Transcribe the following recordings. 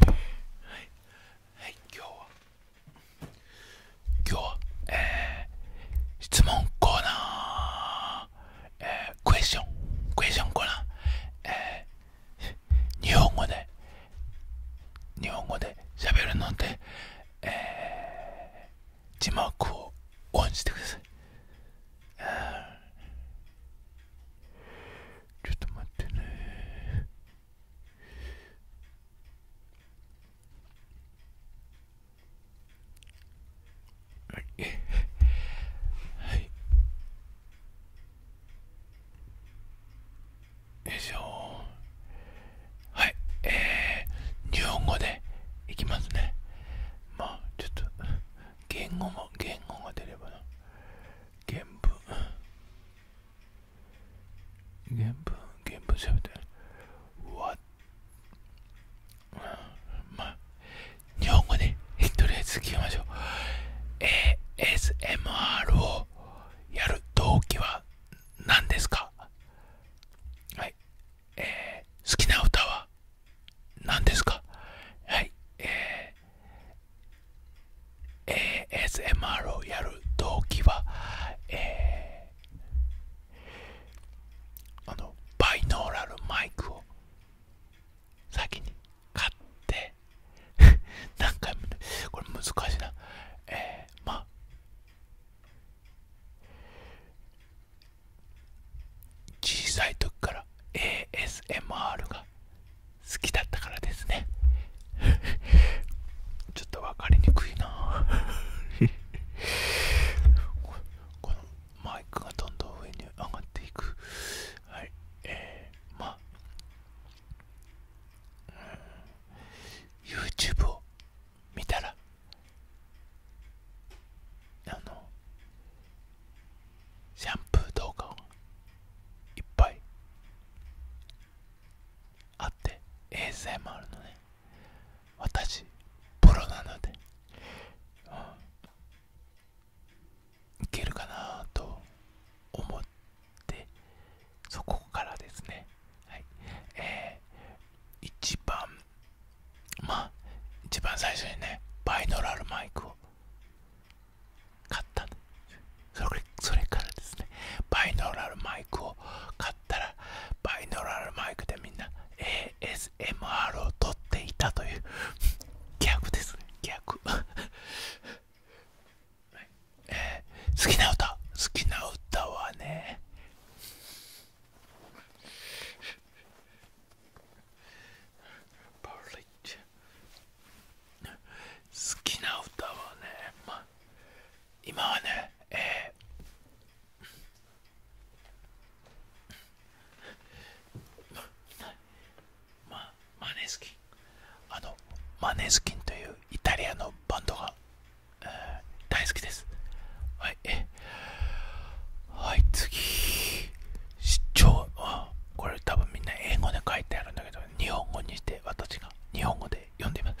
はい、今日は今日はえ質問コーナーえクエスチョンクエスチョンコーナーえ日本語で日本語で喋るのでえ字幕をオンしてください。ちょっと待ってねはいはいよいしょはいえー、日本語でいきますねまあちょっと言語も言語が出ればな原文原文原文調べてわまあ日本語で、とりあえず聞きましょう ASMR をやる動機は何ですかはい、好きな歌は何ですかはい、えー、ASMR をやる動機は、えー、あの、バイノーラルマイクを先に買って 何回も、これ難しいな。えー、まあ、小さい時から ASMR が好きだったからですね ちょっと分かりにくいな このマイクがどんどん上に上がっていくはいえー、まあ、うん、YouTube を見たらあのシャンプー動画をいっぱいあって ASMR のね私プロなので、うん、いけるかなと思ってそこからですね、はいえー、一番まあ一番最初にねバイノラルマイクを買ったそれそれからですねバイノーラルマイクを買ったらバイノーラルマイクでみんな ASMR を撮っていたという逆ですね逆、はえ好きな歌好きな歌はねパーリッチ好きな歌はね、まあ、今はね、えーまま、マネスキンあのマネスキンというイタリアのバンドが、えー、大好きですはい、はい次超これ多分みんな英語で書いてあるんだけど日本語にして私が日本語で読んでみま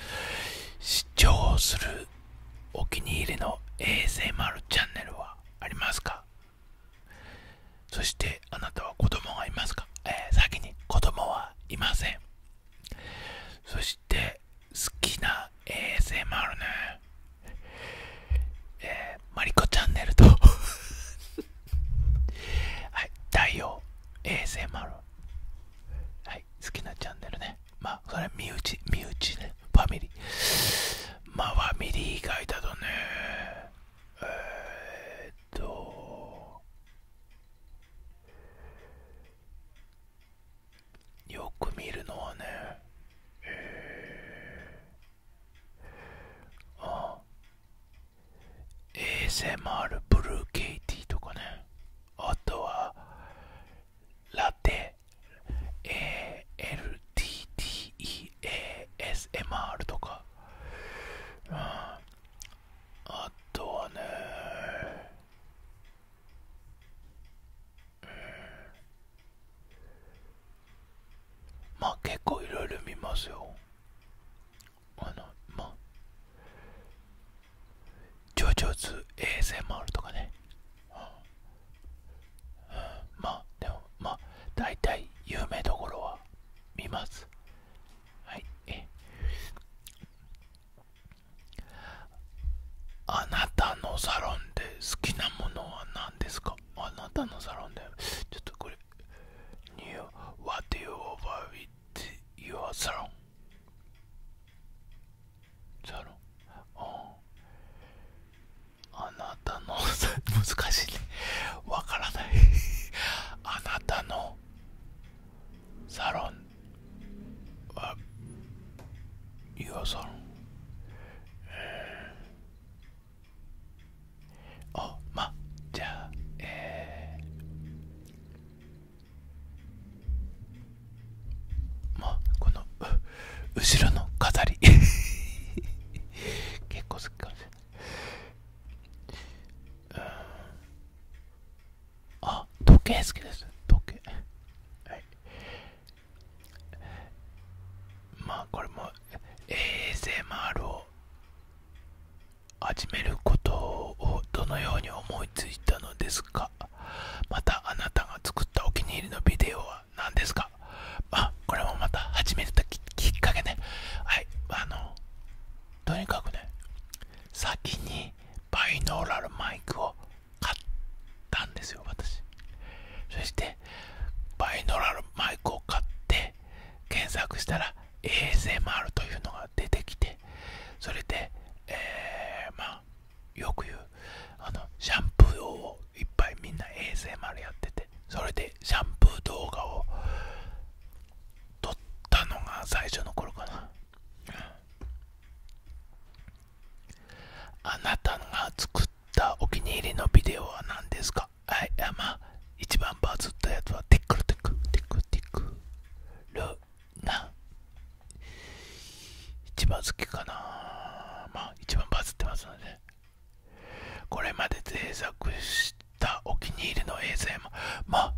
す視聴するお気に入りの ASMR チャンネルはありますかそしてあなたは子供がいますか、え先に子供はいませんそして好きな ASMR ねえー、マリコチャンネルと はい太陽 ASMR はい好きなチャンネルねまあそれは身内身内ねファミリーまあファミリー以外だとねえっとよく見るのはねえー、あ ASMR ブルーケイティとかねあとはラテエ l t t エ a s m r とか、うん、あとはね、うん、まあ結構いろいろ見ますよあのまあジョジョズ ASMR とかね、うんうん、まあでもまあ大体有名どころは見ますはいえあなたのサロンで好きなものは何ですかあなたのサロンでちょっとこれ knew what you over with your salon. salon. あなたの難しいねわからないあなたのサロンは your サロンおまじゃあえー、まこの後ろの飾り 結構好きかもしれないあ時計好きです時計はいまあこれも ASMR を始めることをどのように思いついたのですかまたあなたが作ったお気に入りのビデオは何ですかあこれもまた始めたきっかけねはいあのとにかくね先にバイノーラルマイクを買ったんですよ私そしてバイノーラルマイクを買って検索したら ASMR というのが出てきてそれで、えー、まあよく言うあのシャンプーをいっぱいみんな ASMR やっててそれでシャンプー動画を撮ったのが最初の頃かな、あなたが作ったお気に入りのビデオは何ですかはい、あまあ、一番バズったやつは、テックルテック、テックテック、ルな一番好きかなまあ、一番バズってますので、これまで制作したお気に入りの映像も、まあ、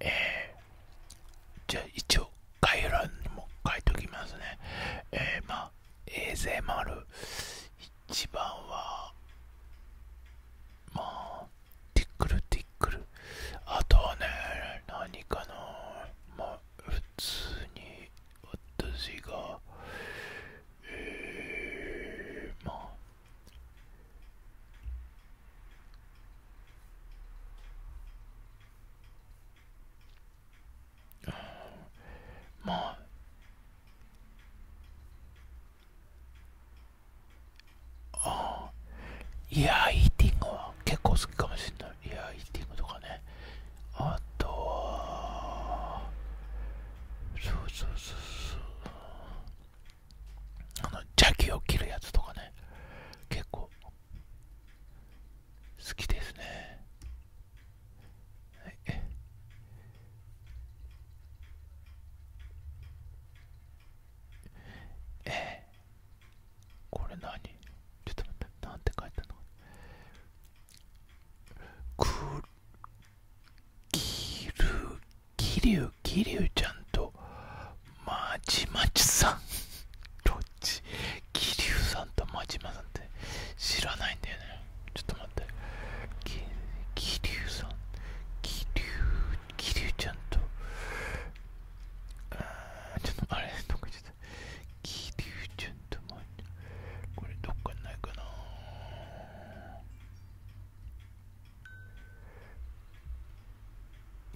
えじゃあ一応概要欄にも書いておきますね。えー、まあ、ASMR、一番はまあティックルティックルあとはね何かなまあ普通に私がえー、まあまああイヤーイティングは結構好きかもしれない。イヤーイティングとかね。あとは、そうそうそうそう。あの、邪気を切るやつとかね。結構、好きですね。はい、ええこれ何ちょっと待ってなんて書いてあるのくきるきりゅうきりゅうちゃんとまじまじさんどっちきりゅうさんとまじまさんって知らないんだよねちょっと待ってきりゅうさん気流気流ちゃんとちょっとあれちゃっともれどっかにないかな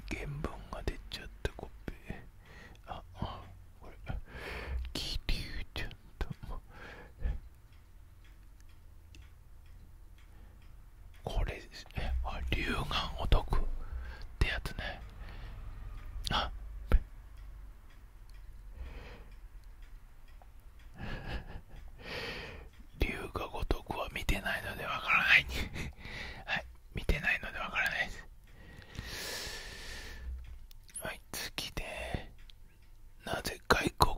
原文が出ちゃったコピーああこれ気流ちゃんともこれえあ龍眼お得ってやつねあ龍がごとくは見てないのでわからない はい見てないのでわからないですはい次でなぜ外国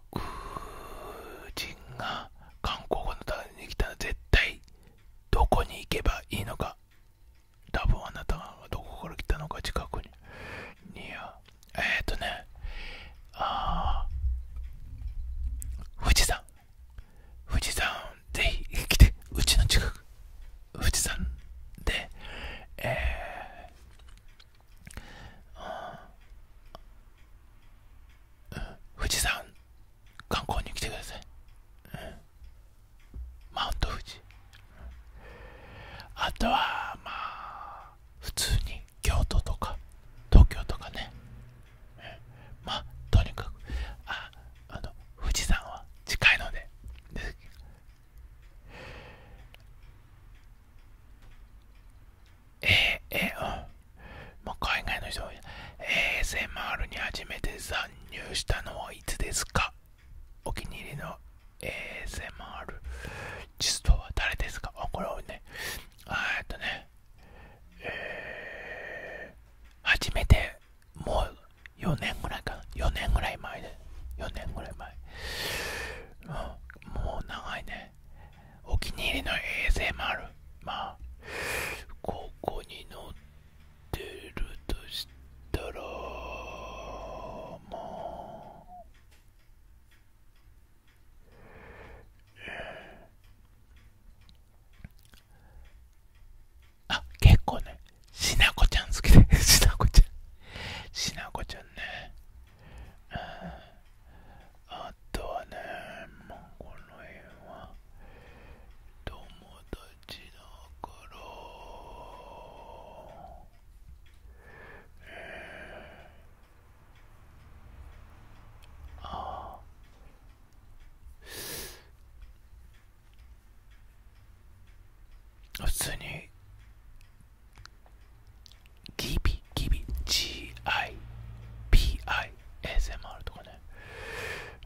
人が韓国語のために来たら絶対どこに行けばいいのか多分あなたはどこから来たのか近くにいやえっ、とねああ。富士山富士山ぜひ来てうちの近く富士山でえー富士山観光に来てください、マウント富士、あとはまあ普通に京都とか東京とかね、まあとにかくああの富士山は近いのででええー、ま海外の人は ASMR に初めて参入したのはいつですかお気に入りの ASMR ジストは誰ですかあ、これをね、えっとね、初めてもう4年ぐらいかな。4年ぐらい前で。4年ぐらい前。もう長いね。お気に入りの ASMR まあここに乗ってるとしたらまああ結構ねしなこちゃん好きでしなこちゃんしなこちゃんねうんあとはね、もうこの辺は友達だから、えー、ああ普通にギビギビ GIPISMR とかね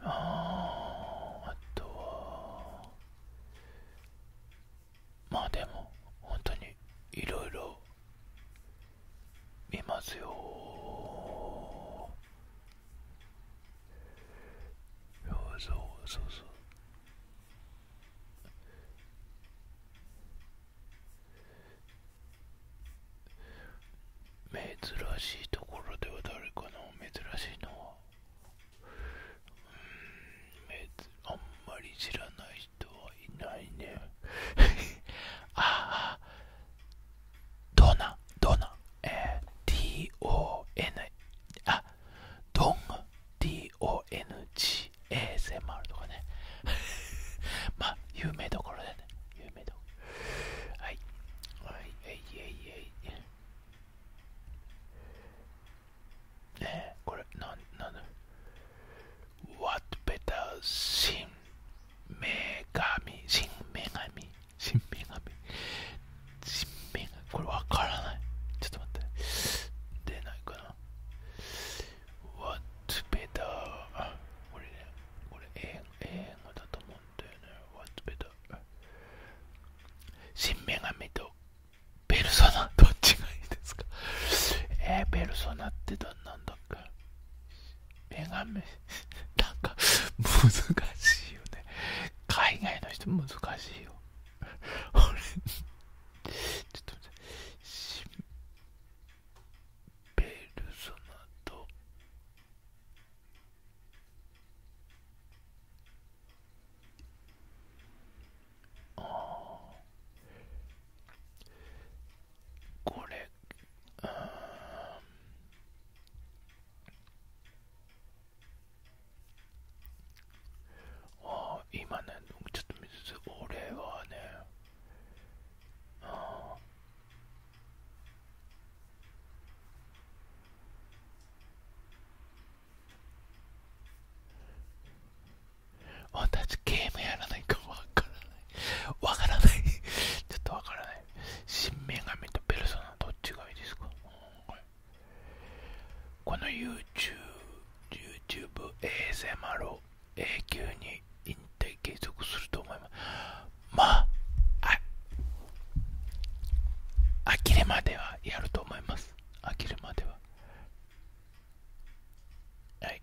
ああとはまあでも本当にいろいろ見ますよそうそうそうそう珍しいところでは誰かな珍しいのはうんあんまり知らない人はいないね ああドナドナえ DON あドン DONGASMR とかね まあ有名どころでね有名だ。はい。はい、えいえいえい。ねえ、これ、なん、なんだ ?What better sin? 女神、新女神、新女神、新これわからない。ちょっと待って。出ないかな。What s better? あ、これこれ英語だと思うんだよね。What s better? 新女神とペルソナどっちがいいですかえー、ペルソナってどんなんだっけ女神、なんか難しいよね。海外の人難しいよ。俺、ちょっと待って。ペルソナとああこれうんああ今ねちょっと見水俺はねああ私ゲームやらないかわからないわからないちょっとわからない新女神とペルソナどっちがいいですか、うん、この YouTube YouTubeASMR を永久に引退継続すると思いますまああきれまではやると思います飽きるまでははい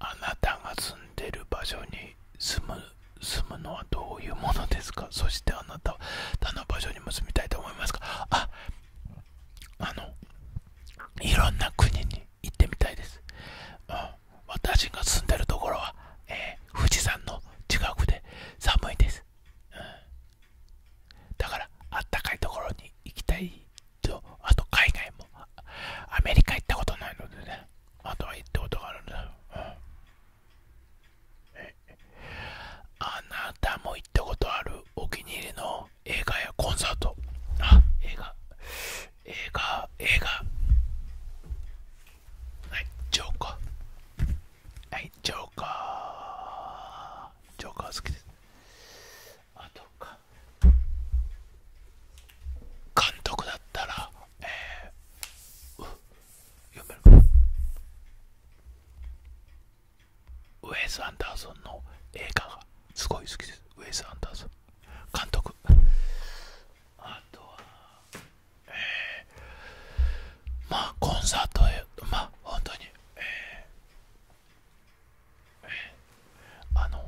あなたが住んでる場所に住む住むのはどういうものですかそしてあなたは他の場所にも住みたいと思いますかああのいろんな国に行ってみたいです私が住んでるところは、え富士山の近くで寒いです、うん、だからあったかいところに行きたいとあと海外もアメリカ行ったことないのでねあとは行ったことがあるんだよ、うん、あなたも行ったことあるお気に入りの映画やコンサートあ映画映画映画はいジョーカーはいジョーカージョーカー好きです監督だったらえー、ウェイス・アンダーソンの映画がすごい好きですウェイス・アンダーソン監督あとは、ええ。まあコンサートへまあ本当に、えーえー、あの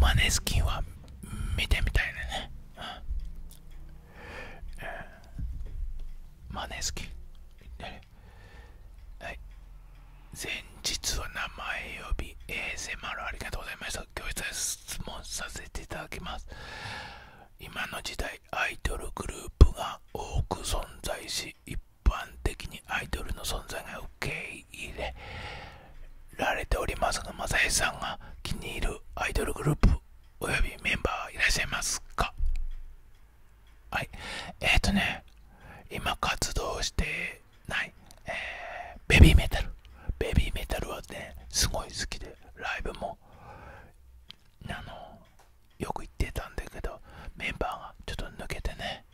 マネスキンは見てみたいね、うんえー、マネスキンはい前日は名前呼び ASMR ありがとうございました今日質問させていただきます今の時代アイドルグループが多く存在し一般的にアイドルの存在が受け入れられておりますが正義さんが気に入るアイドルグループ及びメンバーはいらっしゃいますかはいえっ、ー、とね今活動してない、えベビーメタルベビーメタルはねすごい好きでライブもあのよく行ってたんだけどメンバーがちょっと抜けてね、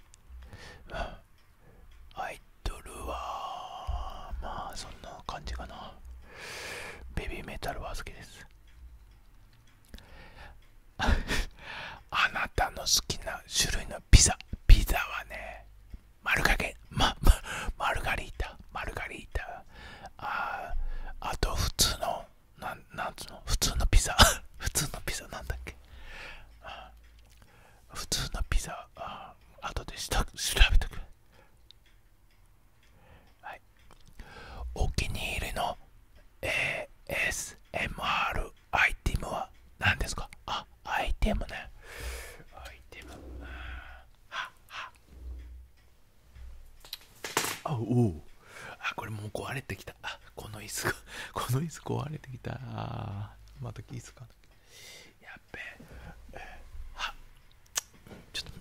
アイドルはまあそんな感じかなベビーメタルは好きですあなたの好きな種類のピザピザはねマルカゲままマルガリータマルガリータああと普通のなんなんつうの普通のピザ 普通のピザなんだっけ普通のピザあ後でした調べて。くはいお気に入りの ASMR アイテムは何ですかあアイテムねアイテムはあおおあこれもう壊れてきたあこの椅子が この椅子壊れてきたあまた椅子かやっべえはちょっと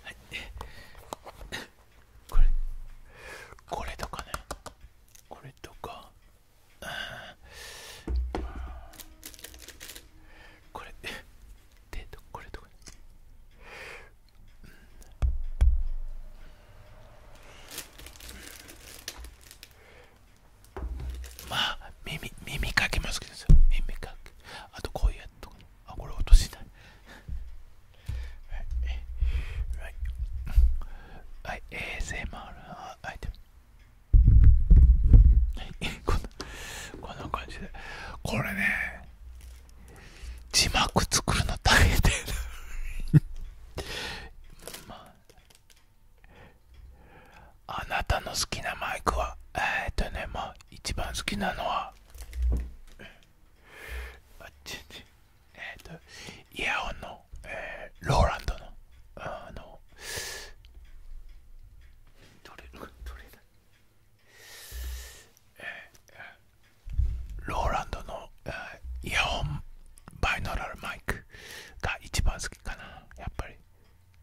はい、これこれとかねこれとかこれでこれとか、ねうんまあ耳耳かけますけど耳かけあとこういうやつとか、ね、あこれ落としてないはいはい、ASMR アイテムこんなこんな感じでこれね字幕作るの大変だ まあ、あなたの好きなマイクはえっとねまあ一番好きなのはあっちえっ、とイヤンの、えー、ローランドのあの取ー、ローランドの、えー、イヤンバイノラルマイクが一番好きかなやっぱり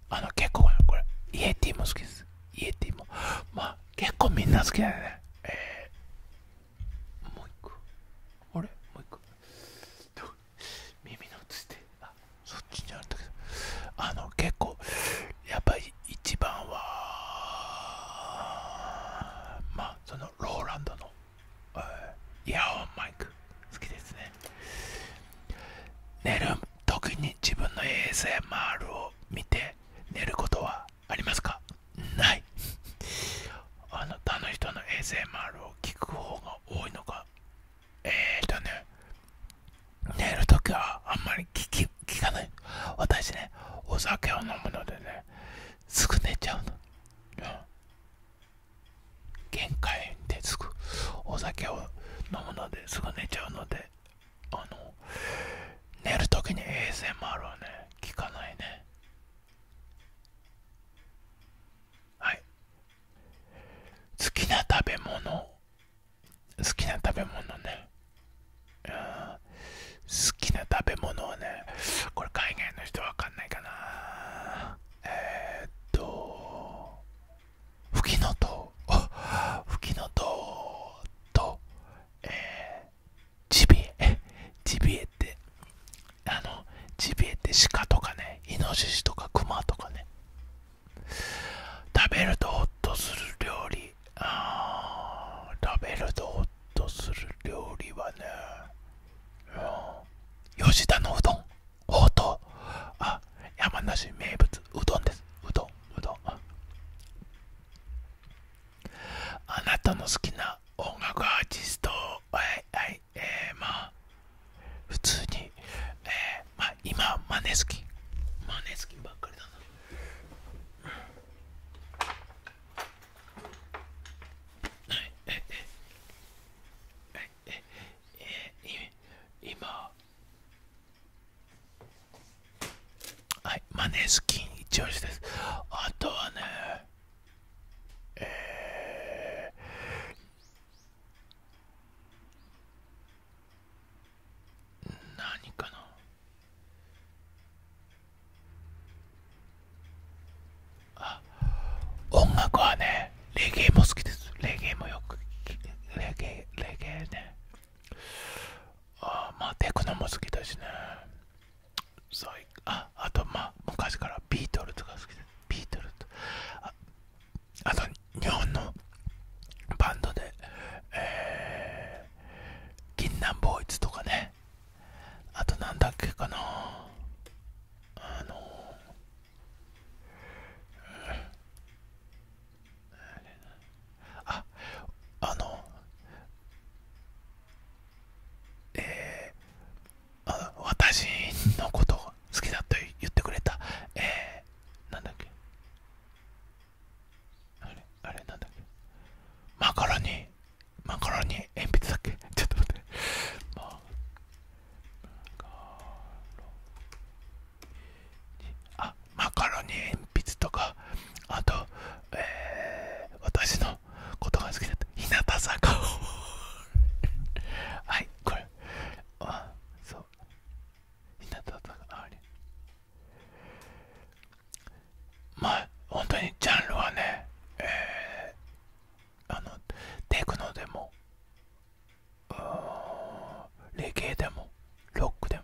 あの結構これイエティも好きですイエティもまあ結構みんな好きだよね。えー、もう一個。あれもう一個。耳の写して、あそっちにあったけど、あの、結構、やっぱり一番は、まあ、そのローランドの、えー、イヤホンマイク、好きですね。寝る時に自分の ASMR を見て、寝ることはありますかない あの、他の人の ASMR を聞く方が多いのかえっとね寝る時はあんまり聞かない私ねお酒を飲むのでねすぐ寝ちゃうの、うん、限界でつくお酒を飲むのですぐ寝ちゃうのであの寝るときに衛 s m r はね聞かないね好きな食べ物好きな食べ物ね好きな食べ物はねこれ海外の人わかんないかなえっとふきのとう。ふきのとう。とええ、ジビエ、ジビエって、あの、ジビエって鹿とかね、イノシシとかクマとかね、食べるとホっとする料理、あ食べるとホっとする料理はね、うん、吉田のうどん、ほうとあ、山梨名物、うどんです、うどん、うどん。あなたの好きな音楽アーティストはえまあ普通に、えー、まあ今マネスキンマネスキばっかりだな、はい、ええええええ今はい、マネースキン一押しです。あとはね、えー、何かなあ、音楽はね、レゲエも好きです。レゲエもよく、レゲエ、レゲエね。あまあテクノも好きだしねそうああとまあ昔からビートルズが好きでビートルズあと日本のバンドでえー、銀杏ボーイズとかねあとなんだっけかなあのー、ああのえー、あ私のこと好きだと言ってくれたえー、なんだっけあれあれなんだっけマカロニマカロニ鉛筆だっけちょっと待ってマカロニあマカロニ鉛筆とかあと、えー、私のことが好きだった日向坂 はいこれあそう日向坂あれまあ本当にジャンルはね、えー、あのテクノでもレゲエでもロックでも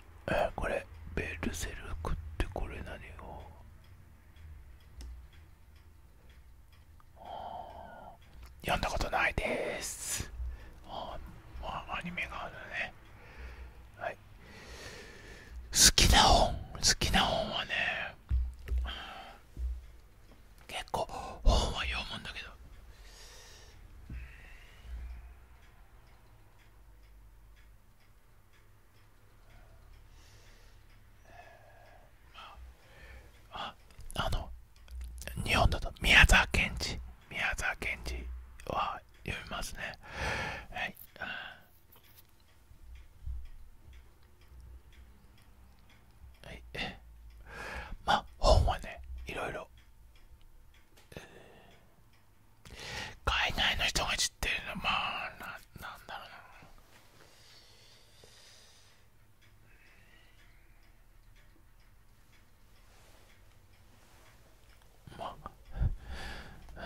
えこれベルセルクってこれ何を読んだことないですああアニメがあるねはい好きな本好きな本はね結構本は読むんだけどああの日本だと宮沢賢治宮沢賢治は読みますねはいはいまあ本はねいろいろ、えー、海外の人が知ってるのまあななんだろうなまあ、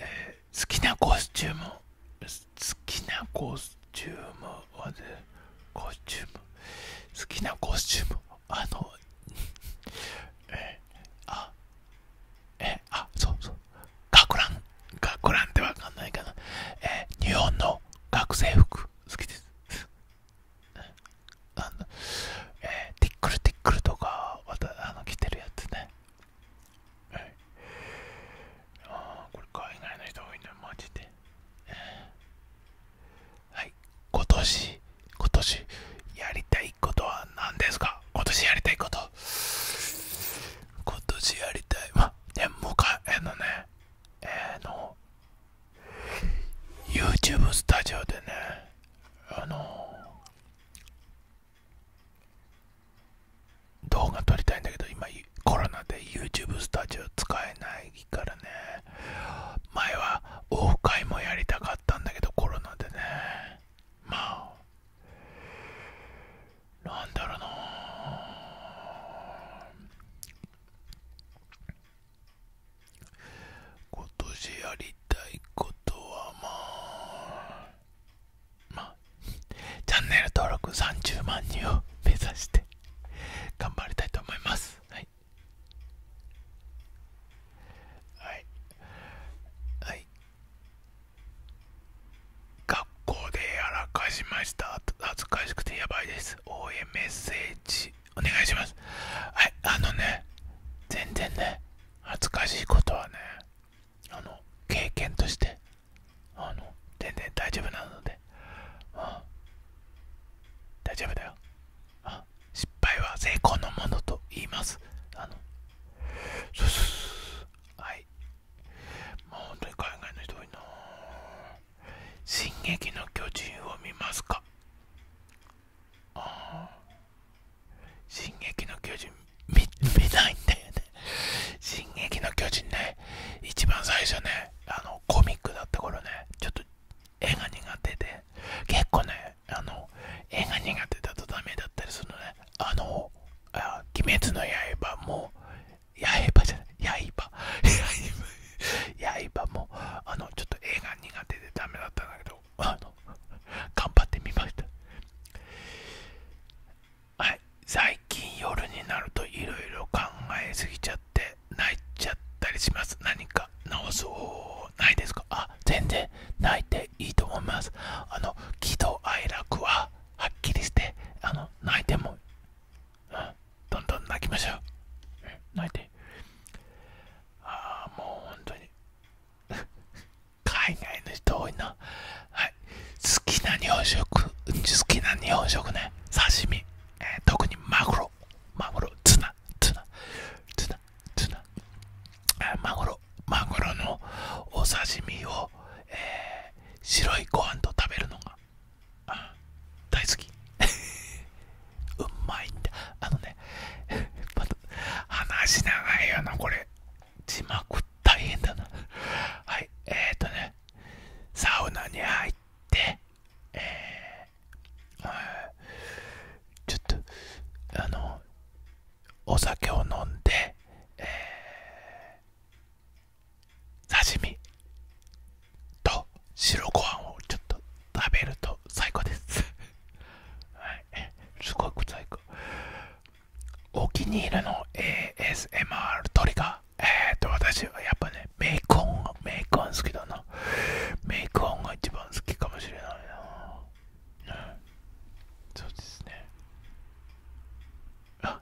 えー、好きなコスチューム好きなコスチュームはねコスチューム好きなコスチュームあのえー、あえあ、そうそう。学ラン、学ランってわかんないかな。え日本の学生服、好きです。えティックルティックルとか、またあの着てるやつね。はい、あこれ海外の人多いな、マジで。え。はい、今年今年やりたいことは何ですか今年やりたいこと今年やりたいまあでもかえのねえの YouTube スタジオでねあの動画撮りたいんだけど今コロナで YouTube スタジオ使えないからね前はオフ会もやりたかったんだけどコロナでねまあなんだろうな今年やりたいことはまあまあチャンネル登録30万人を目指して頑張りたいと思いますはいはい、はい、学校でやらかしました恥ずかしくてやばいです応援メッセージお願いしますはいあのね全然ね恥ずかしいことはねあの経験としてあの全然大丈夫なので大丈夫だよあ失敗は成功のものと言いますあのそうそうそはいもう本当に海外の人多いな「進撃の巨人」を見ますかああ進撃の巨人見見ないんだよね進撃の巨人ね一番最初ねあのコミックだった頃ねちょっと絵が苦手で結構ねあの、絵が苦手だとダメだったりするのね。あの、あ鬼滅の刃も、刃じゃない、刃、刃も、あの、ちょっと絵が苦手でダメだったんだけど、あの、頑張ってみました。はい、最近夜になるといろいろ考えすぎちゃって、泣いちゃったりします。何か直す方法ないですかあ、全然いいと思います。あの喜怒哀楽ははっきりしてあの泣いても、うん、どんどん泣きましょう。泣いて。ああ、もう本当に海外の人多いな。はい、好きな日本食、好きな日本食ね、刺身、え特にマグロ、マグロ、ツナ、ツナ、ツナ、マグロマグロのお刺身を、白いご飯と食べるのが、大好き うまいんだあのね 話長いよなこれ字幕大変だなはいえっ、とねサウナに入ってえちょっとあのお酒を飲んで、え刺身と白ご飯をちょっと食べると最高です。はい、すごく最高。お気に入りの ASMR トリガー。えっと、私はやっぱね、メイク音、がメイク音好きだな。メイク音が一番好きかもしれないな。そうですね。あ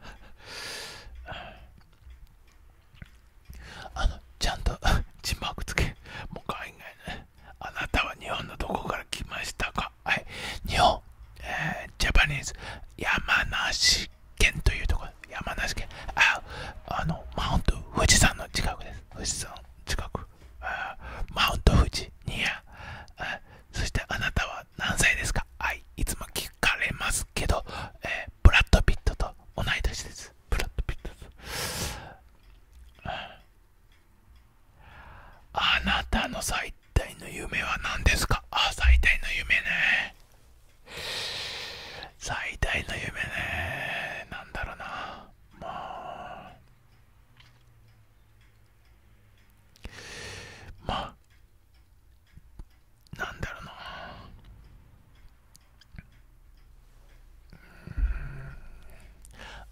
あの、ちゃんと 字幕つけ。もう海外ね。あなたは日本のどこから来ましたかはい。日本、えー、ジャパニーズ、山梨県というところ。山梨県。あ、ああの、マウント、富士山の近くです。富士山の近く。あマウント富士、ニア。あそしてあなたは何歳ですかはいいつも聞かれますけど、えブラッド・ピットと同い年ですブラッド・ピットあなたの最大の夢は何ですかあ最大の夢ね最大の夢ねなんだろうなまあまあなんだろうな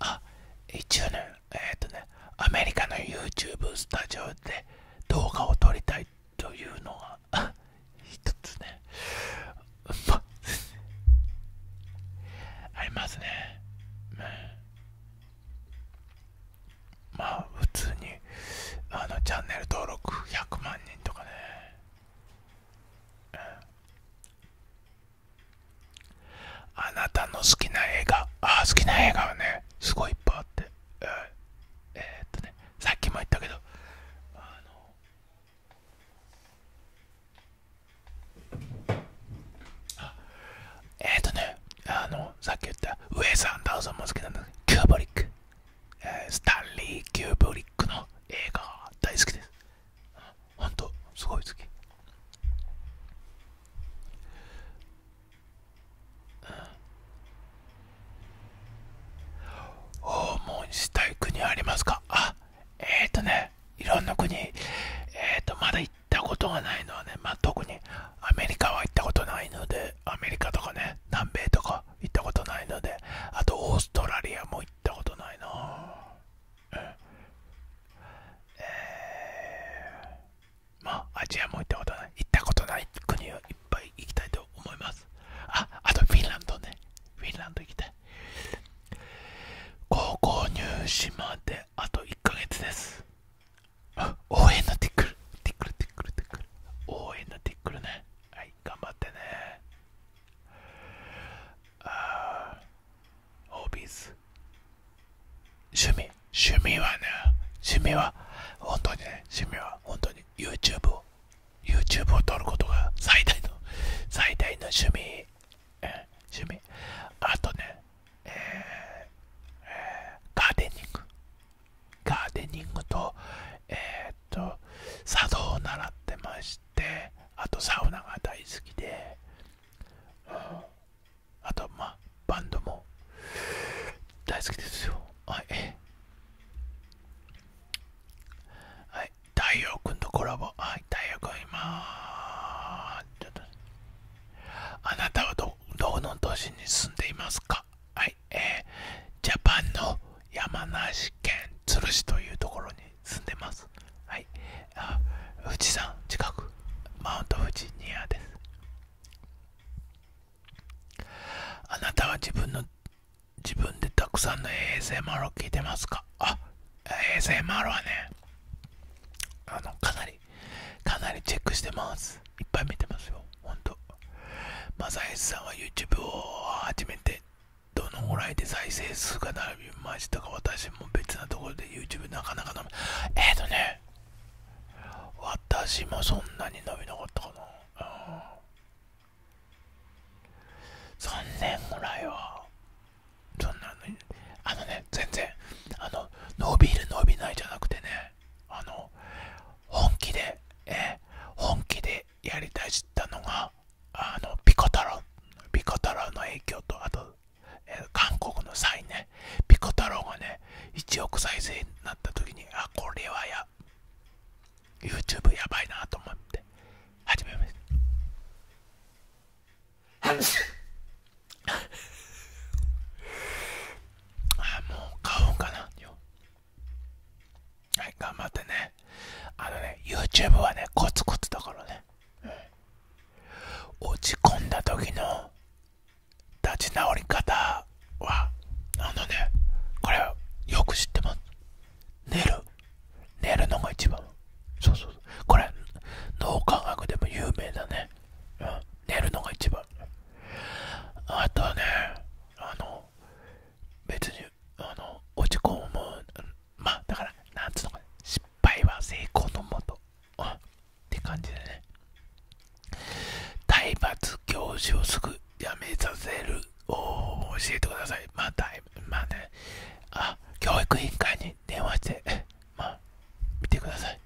あ一応ねえっ、とねアメリカの YouTube スタジオで動画を撮りたいというのは。一つね ありますね、うんまあ普通にあのチャンネル登録100万人とかね、あなたの好きな映画あ好きな映画はねすごいいっぱいあって、えっとねさっきも言ったけどあのえっとねあのさっき言ったウェス・アンダーソンも好キューブリック、えー、スタンリー・キューブリックの映画大好きです本当、すごい好き、うん、訪問したい国ありますかあえっ、とねいろんな国えっ、ー、とまだ行ったことがないのはね、ま特にアメリカは行ったことないので、アメリカとかね、南米とか行ったことないので、あとオーストラリアも行ったことないな。うん、えー、まあ、アジアも行ったことない。行ったことない国はいっぱい行きたいと思います。あ、あとフィンランドね。フィンランド行きたい。高校入試まであと1ヶ月です。応援のティックル、ティックル、ティックル、ティックル。応援のティックルね。はい、頑張ってね。あー、オービス。趣味、趣味はね、趣味は、本当にね、趣味は本当に YouTube を、YouTube を撮ることが最大の、最大の趣味、うん、趣味。あとね、えーえー、ガーデニングガーデニングとえー、っと茶道を習ってましてあとサウナが大好きで、うん、あとまあバンドも大好きですよはいはい太陽君とコラボはい太陽君今ちょっとあなたはどどの都市に住んでいますかはい、えー、ジャパンの山梨県都留市というところに住んでます。はい、あ富士山近く、マウント富士ニアです。あなたは自分の自分でたくさんの ASMR を聞いてますかあ ASMR はねあのかなりかなりチェックしてますいっぱい見てますよほんとマサエスさんは YouTube を始めてどのぐらいで再生数が並びましたか私も別なところで YouTube なかなか伸びえっ、とね私もそんなに伸びなかったかな、うん、3年ぐらいはそんなのあのね全然あの伸びる伸びないじゃなくてねあの本気で、え本気でやりたいしたのがあのピコ太郎ピコ太郎の影響とあと、え韓国のサインねピコ太郎がね1億再生になった時にあこれはや YouTube やばいなと思って始めますあもう買おうかなよ頑張ってねあのね YouTube はねコツコツだからね、落ち込んだ時の立ち直り方はあのねこれよく知ってます寝る寝るのが一番そうそうこれ脳科学でも有名だね、うん、寝るのが一番、あとはねあの別にあの落ち込むまあだからなんつうのか失敗は成功のもとあって感じでね体罰教授をすぐやめさせるを教えてくださいまあだまあねあ教育委員会に電話してまあ、見てください。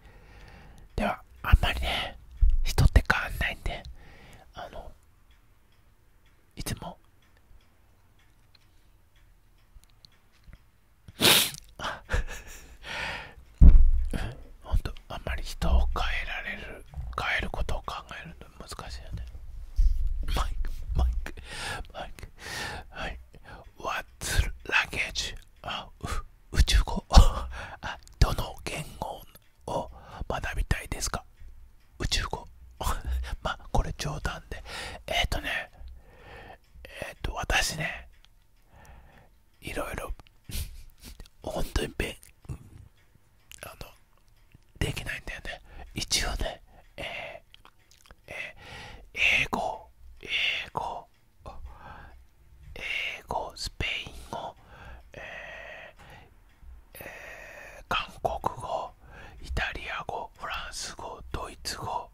では、あんまりね、人って変わんないんで、あの、いつも、ほ んと、あんまり人を変えられる、変えることを考えるの難しいよね。マイク、マイク、マイク。はい。What's luggage あ宇宙語 どの言語を学びたいですか宇宙語 まあこれ冗談でえっ、とねえっ、と私ねいろいろ 本当にべあのできないんだよね一応ねえー、えー、英語英語英語スペイン語、えーえー、韓国語イタリア語フランス語ドイツ語、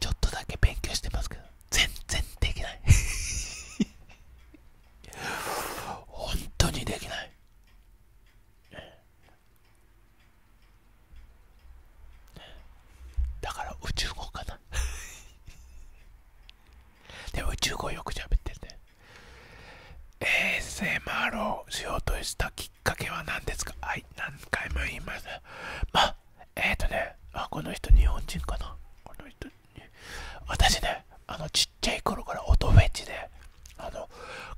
ちょっとだけ勉強してますけど全然できない 本当にできないだから宇宙語かな でも宇宙語よく喋ってるね ASMR をしようとしたきっかけは何ですかはい何回も言いますまあえっ、とねあこの人日本人かなこの人私ねあのちっちゃい頃から音フェチであの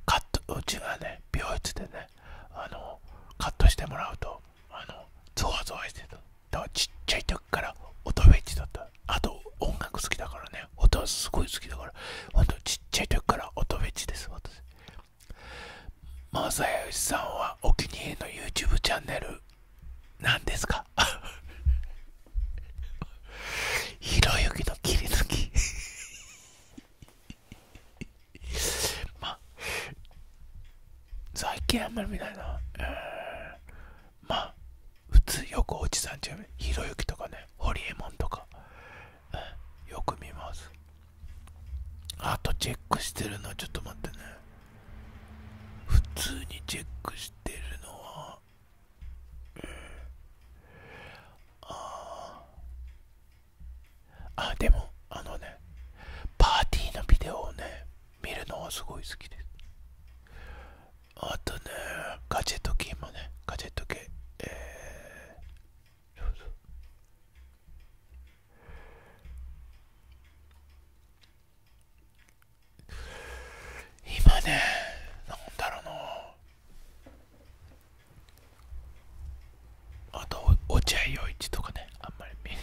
カットうちがね病室でねあのカットしてもらうとあのゾワゾワしてただからちっちゃい時から音フェチだったあと音楽好きだからね音はすごい好きだからほんとちっちゃい時から音フェチです私マサヤさんはお気に入りの YouTube チャンネルなんですか ひろゆきの切り抜きまあ、最近あんまり見ないな。えー、まあ、普通よくおじさんちゃうひろゆきとかね、ホリエモンとか、よく見ます。あとチェックしてるのはちょっと待ってね。普通にチェックしてるのは、うん、ああでもあのねパーティーのビデオをね見るのはすごい好きですあとねガジェット系もねガジェット系えー、今ねなんだろうなあと落合陽一とかねあんまりみんな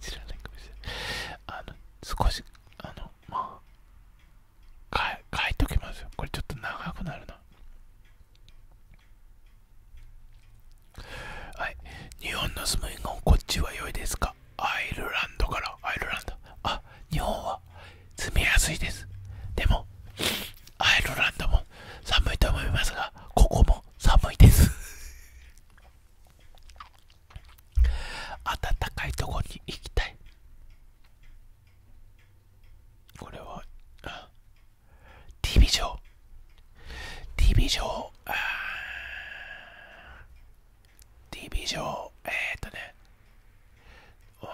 知らないかもしれないあの少しあのまあ変え変えときますよこれちょっと長くなるなはい日本の住む以こっちは良いですかアイルランドからアイルランドあ日本は住みやすいですでもアイルランドも寒いと思いますがここも寒いです暖かいとこに行きたいこれは T ビジョン T ビジョン T ビジョえっとねわ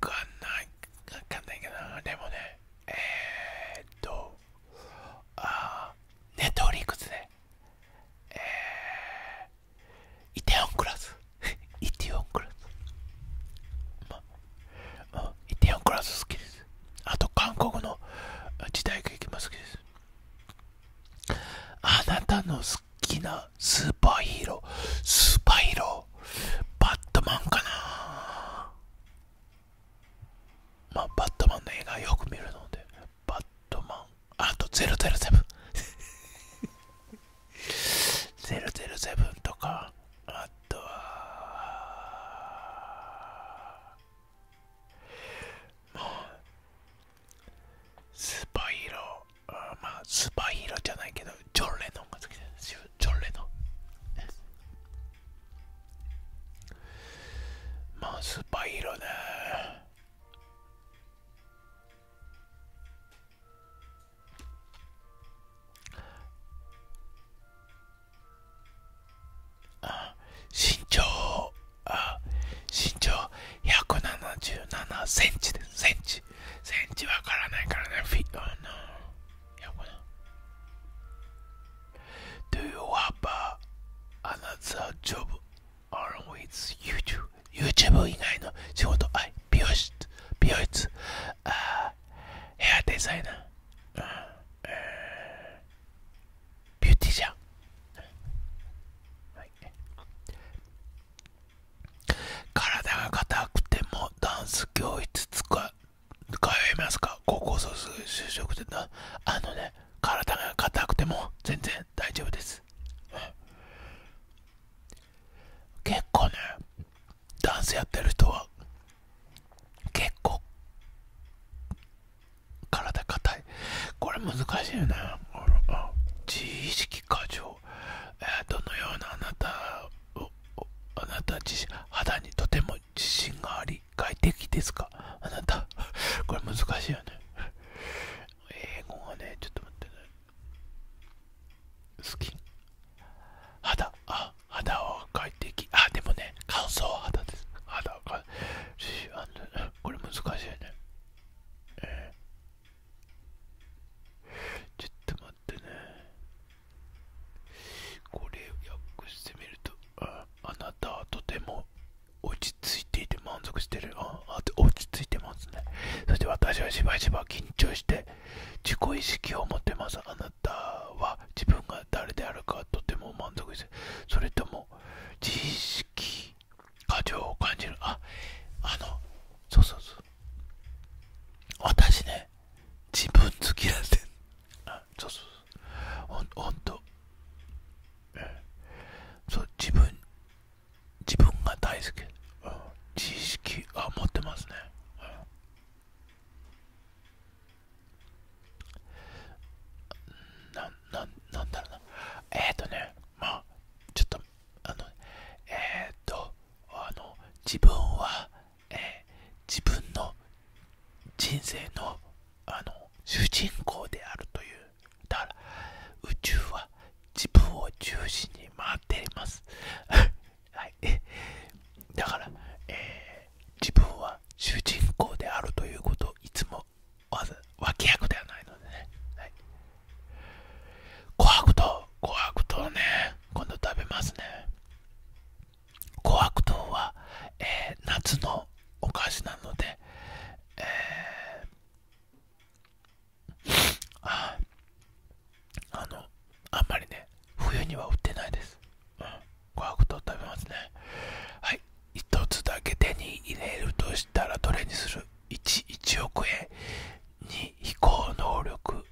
かんないわかんないけどでもねえっとあーネットフリックスでえーイテオンクラス イテオンクラスまあ、イテオンクラス好きですあと韓国の時代劇も好きですあなたの好きなスーパーヒーロースーパーヒーローバットマンかなまあ、バットマンの映画よく見るので、バットマン、あと007 007 とか、あとは、もう、スパイヒロまあ、スパイヒロじゃないけど、ジョン・レノンが好きです John まあスーパーヒーローねあ身長あ身長177センチですセンチセンチわからないからねフィあのやろうな Do you have another job along with YouTube? YouTube 以外の仕事、はい、美容室、美容室、あヘアデザイナー、うんえー、ビューティシャン、はい、体が硬くてもダンス教室使通いますか高校卒就職でなあのね体が硬くても全然大丈夫です、結構ねダンスやってる人は結構体硬いこれ難しいよね自意識過剰、えどのようなあなたをあなた自身肌にとても自信があり、外的ですかあなた。これ難しいよね。英語がね、ちょっと待ってね。スキ肌。あ、肌は外的。あ、でもね、乾燥肌です。肌はこれ難しいよね。えー、ちょっと待ってね。これを訳してみるとあ、なたはとても落ち着いていて満足してる。ああ落ち着いてますね。そして私はしばしば緊張して自己意識を持ってます。あなたは自分が誰であるかとても満足してる。それとも自意識過剰を感じる。あ、あの、そうそうそう。私ね、自分好きなんです。そうそうそうほんと、うそう自分自分が大好き、うん、知識は持ってますね、うん、なななんだろうなえっ、とねまあちょっとあのえっ、とあの自分はえ自分の人生のあの主人公であるというだから宇宙は自分を中心に回っています はいだから、え自分は主人公であるということをいつもわざ脇役ではないのでね、はい、琥珀糖琥珀糖ね今度食べますね琥珀糖は、え夏のお菓子なので、ああのあんまりね冬には売ってないです、うん、琥珀糖食べますねはい1つだけ手に入れるとしたらどれにする 1, 1億円2飛行能力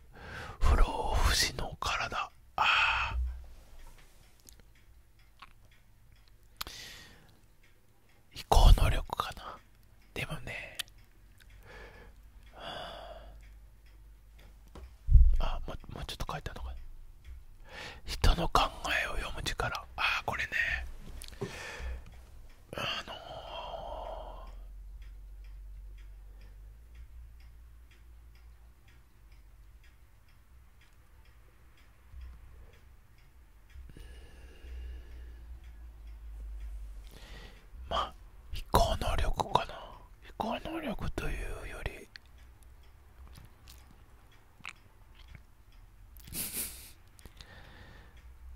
不老不死の体ああ飛行能力かなでもねあももうちょっと書いたのか人の考えを読む力ああこれねあのー、まあ飛行能力かな飛行能力というより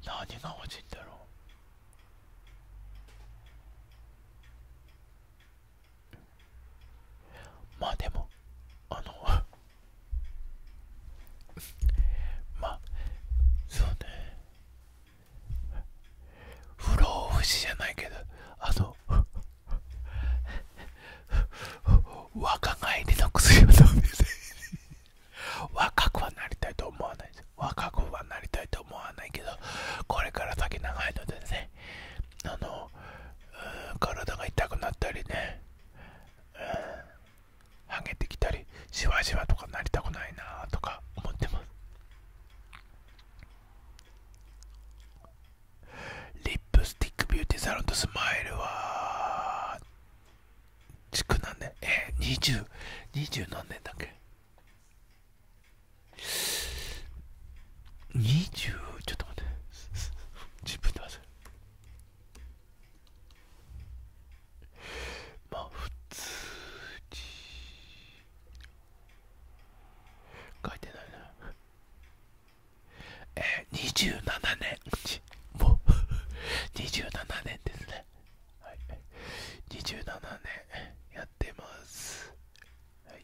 何が欲しいんだろうまあでもあの まあそうね不老不死じゃないけどあの 若返りの薬を飲んでて若くはなりたいと思わないです若くはなりたいと思わないけどこれから先長いのでねあのうん、体が痛くなったりね、うん、ハゲてきたりシワシワとかなりたくないなとか思ってますリップスティックビューティーサロンとスマイルは地区なんでえー、2020何年だっけ二十、ちょっと待って自分で忘れまあ普通に書いてないなえー、27年もう27年ですね二十七年やってますはい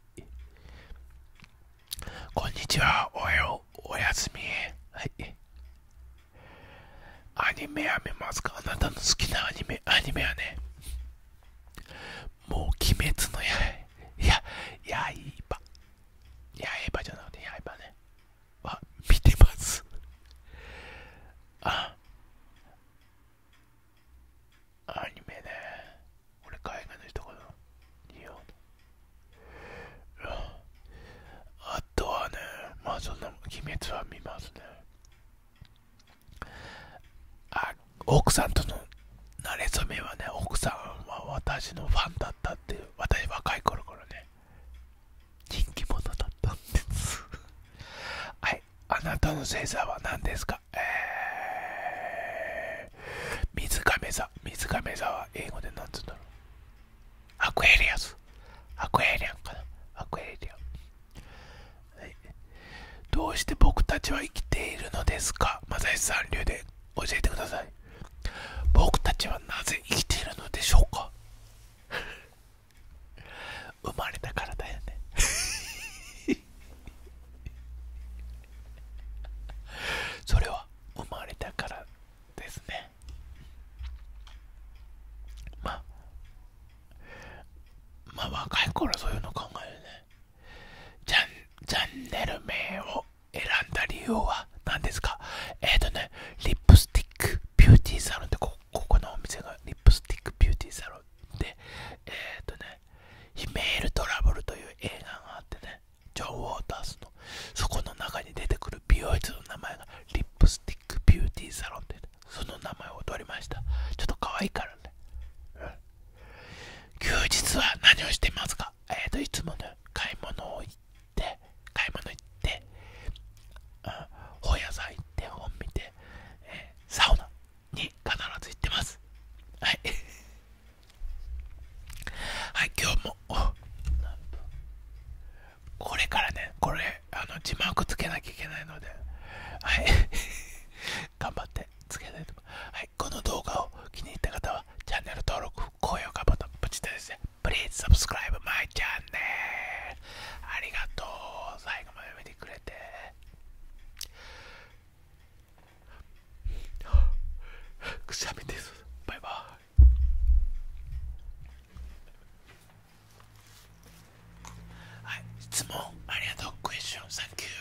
こんにちはおはようおやすみはいアニメはめますかあなたの好きなアニメアニメはねもう鬼滅の刃いやいばじゃなくてやいばねは見てますあアニメね。俺、海外の人かな。日本。あとはね、まあそんな、鬼滅は見ますね。あ、奥さんとの慣れ初めはね、奥さんは私のファンだったっていう、私若い頃からね、人気者だったんです。はい、あなたの星座は何ですかえ水亀座水亀座は英語で何つうんだろうアクエリアスアクエリアンかなアクエリアン、どうして僕たちは生きているのですかマ正義さん流で教えてください僕たちはなぜ生きているのでしょうか 生まれたからだよね それは生まれたからですねまあまあ若い頃はそういうの考えるねチャンチャンネル名を選んだ理由は何ですかえっ、ー、とねリップスティックビューティーサロンってここのお店がリップスティックビューティーサロンでえっ、とねヒメールトラブルという映画があってね情報を出すのそこの中に出てくる美容室の名前がリップスティックビューティーサロンってその名前を取りましたちょっと可愛いからね、休日は何をしてますかえっ、ー、といつもね買い物を行って買い物行って、うん、本屋さん行って本見て、えサウナに必ず行ってますはいはい、今日も、これからね、これ、あの字幕つけなきゃいけないので、はい、頑張ってつけたいと思います。はい、この動画を気に入った方は、チャンネル登録、高評価ボタン、ポチッとですね、Please subscribe my channel! ありがとう最後まで見てくれてくしゃみですバイバイはい質問ありがとうクエスチョンサンキュー